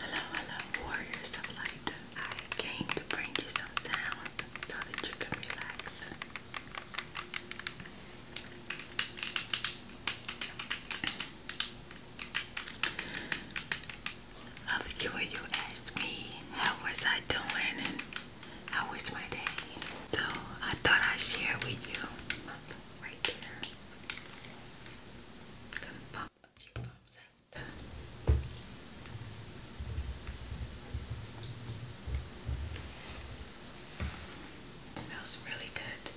Hello, hello, warriors of I came to bring you some sounds so that you can relax. Of you, asked me how was I doing and how was my day. So I thought I'd share with you right there a Smells really good.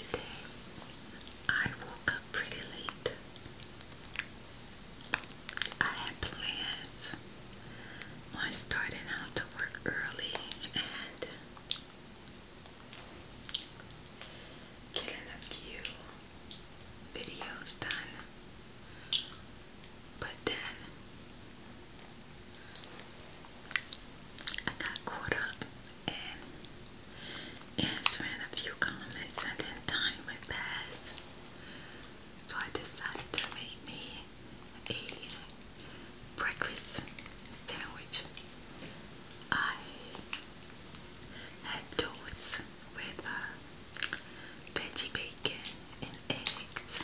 Today I woke up pretty late. I had plans I started out to work early and getting a few videos done, but then I got caught up in answering a few comments and then time would pass. So I decided to make me a breakfast sandwich. I had toast with uh, veggie bacon and eggs,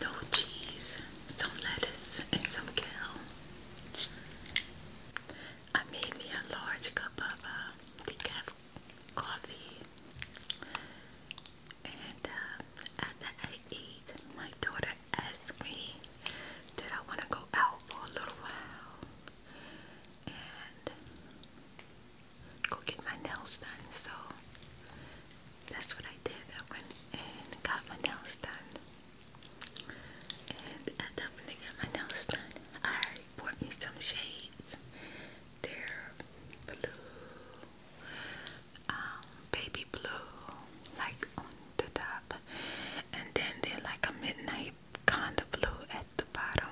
no cheese, some lettuce, and some kale. I made me a large cup of uh, decaf coffee and uh, at the my daughter asked me, did I want to go out for a little while and go get my nails done? So that's what I did. I went and got my nails done. And at I got my nails done, I bought me some shades. They're blue um, baby blue, like on the top, and then they're like a midnight kind of blue at the bottom,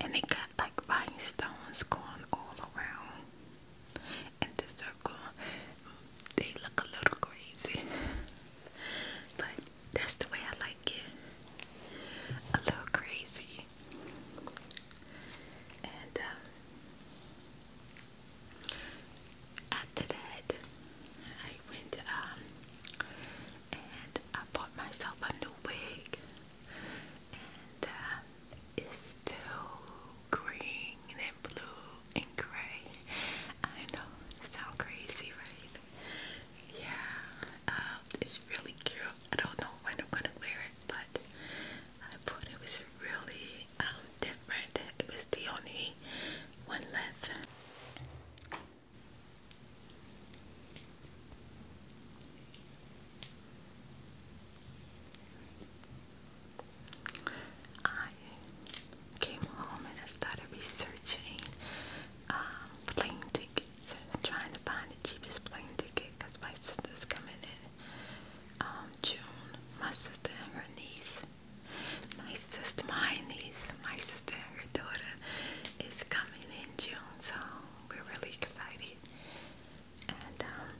and they got like rhinestones going all around in the circle. They look a little crazy, but that's the way I like it. A little crazy, and um, after that, I went um, and I bought myself a new wig, and uh, it's still green and blue and gray. I know it crazy, right? Yeah, um, it's really cute. I don't know when I'm gonna wear it, but I thought it was really um different. It was the only one left. I came home and I started researching um, plane tickets, trying to find the cheapest plane ticket because my sister's coming in um, June, my sister and her niece. My sister, my niece, my sister and her daughter is coming in June, so we're really excited. And um,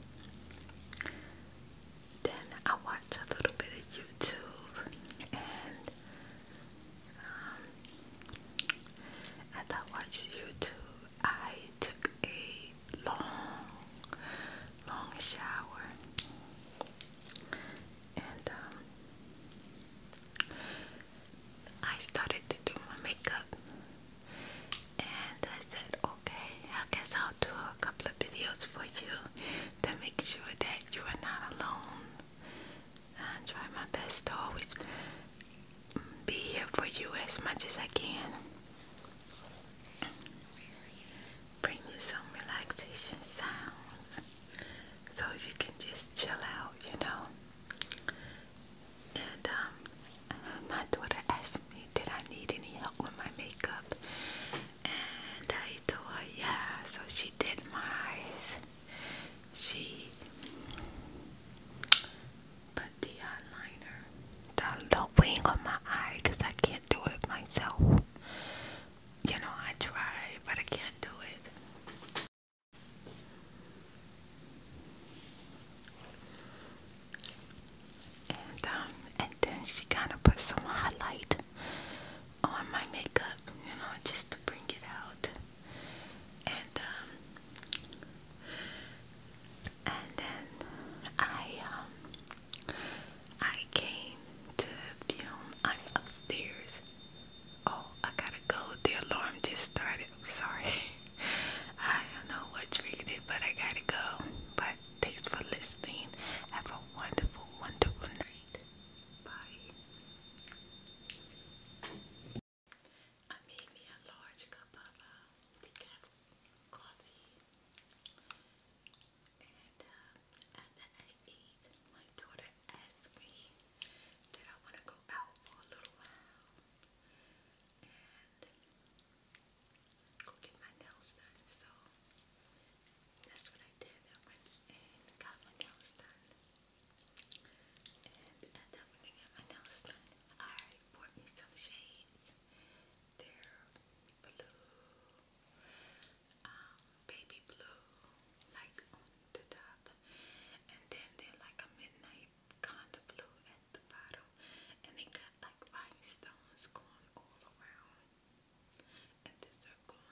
then I watch a little bit of YouTube, and um, as I watch YouTube, I took a long, long shower, and um, I started to do my makeup. And I said, okay, I guess I'll do a couple of videos for you to make sure that you are not alone. I try my best to always be here for you as much as I can bring you some relaxation sounds so you can just chill out, you know. And um, my daughter asked me, did I need any help with my makeup? And I told her, yeah. So she did my eyes. She the eyeliner, don't wing on my eye, because I can't do it myself. You know, I try, but I can't do it. And um, then she kind of put some highlight on my makeup, you know, just to bring it out. And um, and then I um, I came to film. I'm upstairs. Oh, I gotta go. The alarm just started. i sorry. I don't know what triggered it, but I gotta go. But thanks for listening. Have a wonderful, wonderful night. Bye coffee. And uh, I ate. My daughter asked me that I want to go out for a little while and go get my nails done. So that's what I did. went and got my nails done. And after I my nails done, I bought me some shades. They're blue, um, baby blue, like on the top, and then they're like a midnight kind of blue at the bottom, and they got like rhinestones going all around. And the circle,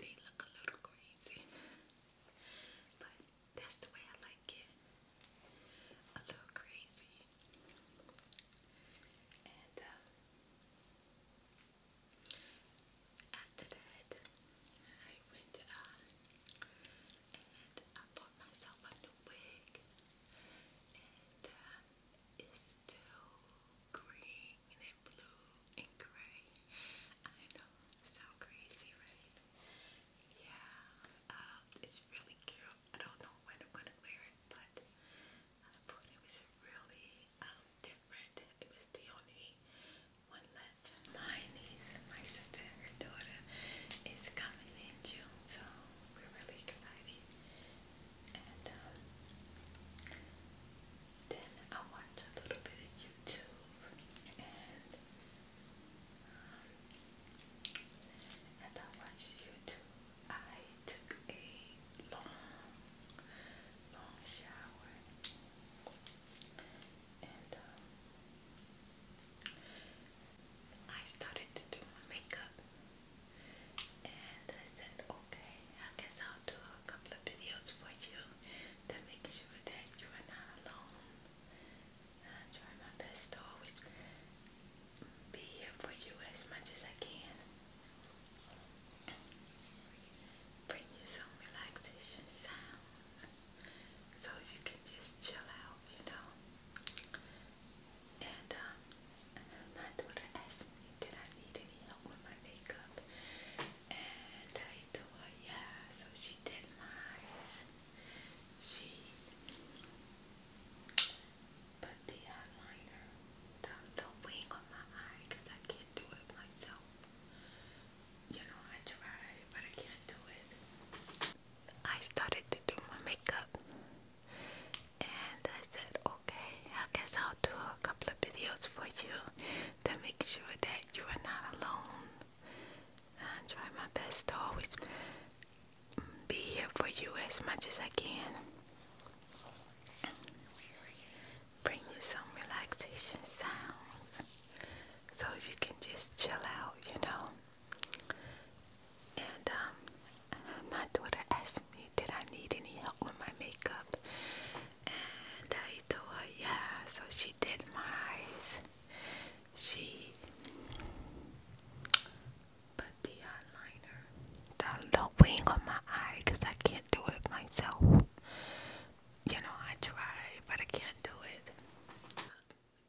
they look a little crazy, but that's the way I like it a little crazy. And uh, after that, I went um, and I bought myself a new wig, and uh, it's still green and blue and gray. I know, so crazy, right? Yeah, um, it's really cute. I don't know when I'm gonna wear it, but I uh, it was really um, different. It was the only one left. My niece, my sister, her daughter is coming in June, so we're really excited. And um, then I watch a little bit of YouTube and um, I watch YouTube, I took a long, long shower, um, I started to do my makeup. And I said, okay, I guess I'll do a couple of videos for you to make sure that you are not alone I try my best to always be here for you as much as I can. Bring you some relaxation sounds so you can just chill out, you know. And um, my daughter asked me, did I need any help with my makeup? And I told her, yeah. So she did my eyes. She I I started to do my makeup and I said, okay, I guess I'll do a couple of videos for you to make sure that you are not alone. I try my best to always be here for you as much as I can. Bring you some relaxation sounds so you can just chill out, you know. And um, my daughter asked me, Did I need any help with my makeup? And I told her, Yeah, so she did my eyes. She put the eyeliner down the wing on my eye I can't do it myself. You know, I try, but I can't do it.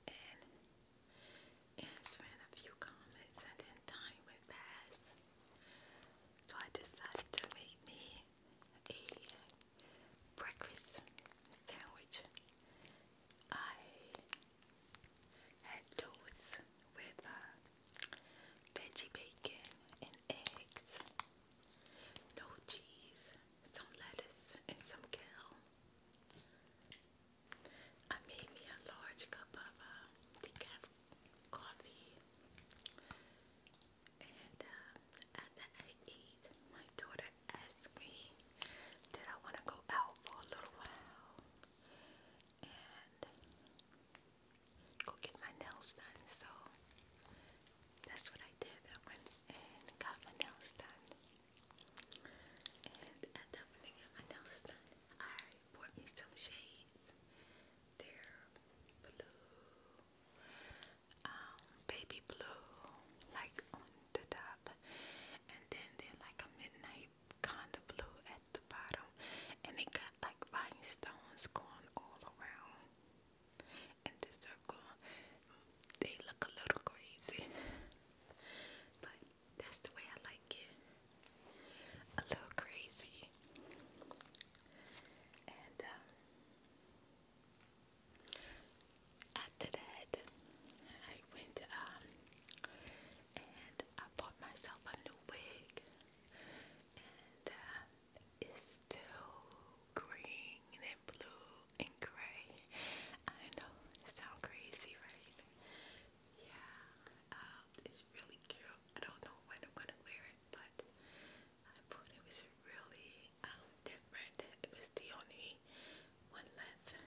And, and a few comments and time went past. So I decided to make me a breakfast sandwich. I toast with uh, veggie bacon and eggs, no cheese, some lettuce, and some kale. I made me a large cup of uh, decaf coffee, and uh, after I ate, my daughter asked me, "Did I want to go out for a little while?" and go get my nails done. So that's what I did. I went and got my nails done. And at that when I my nails done, I bought me some shades. They're blue, um, baby blue, like on the top top and then they're like a midnight kind of blue at the bottom and it got like rhinestones going all around in the circle they look a little crazy but that's the way I like it a little crazy and um after that, I went um and I bought myself a new wig and uh, it's still green and blue and gray. I know it sounds crazy, right? Yeah, um, it's really cute. I don't know when I'm gonna wear it, but I thought it was really um, different. It was the only one left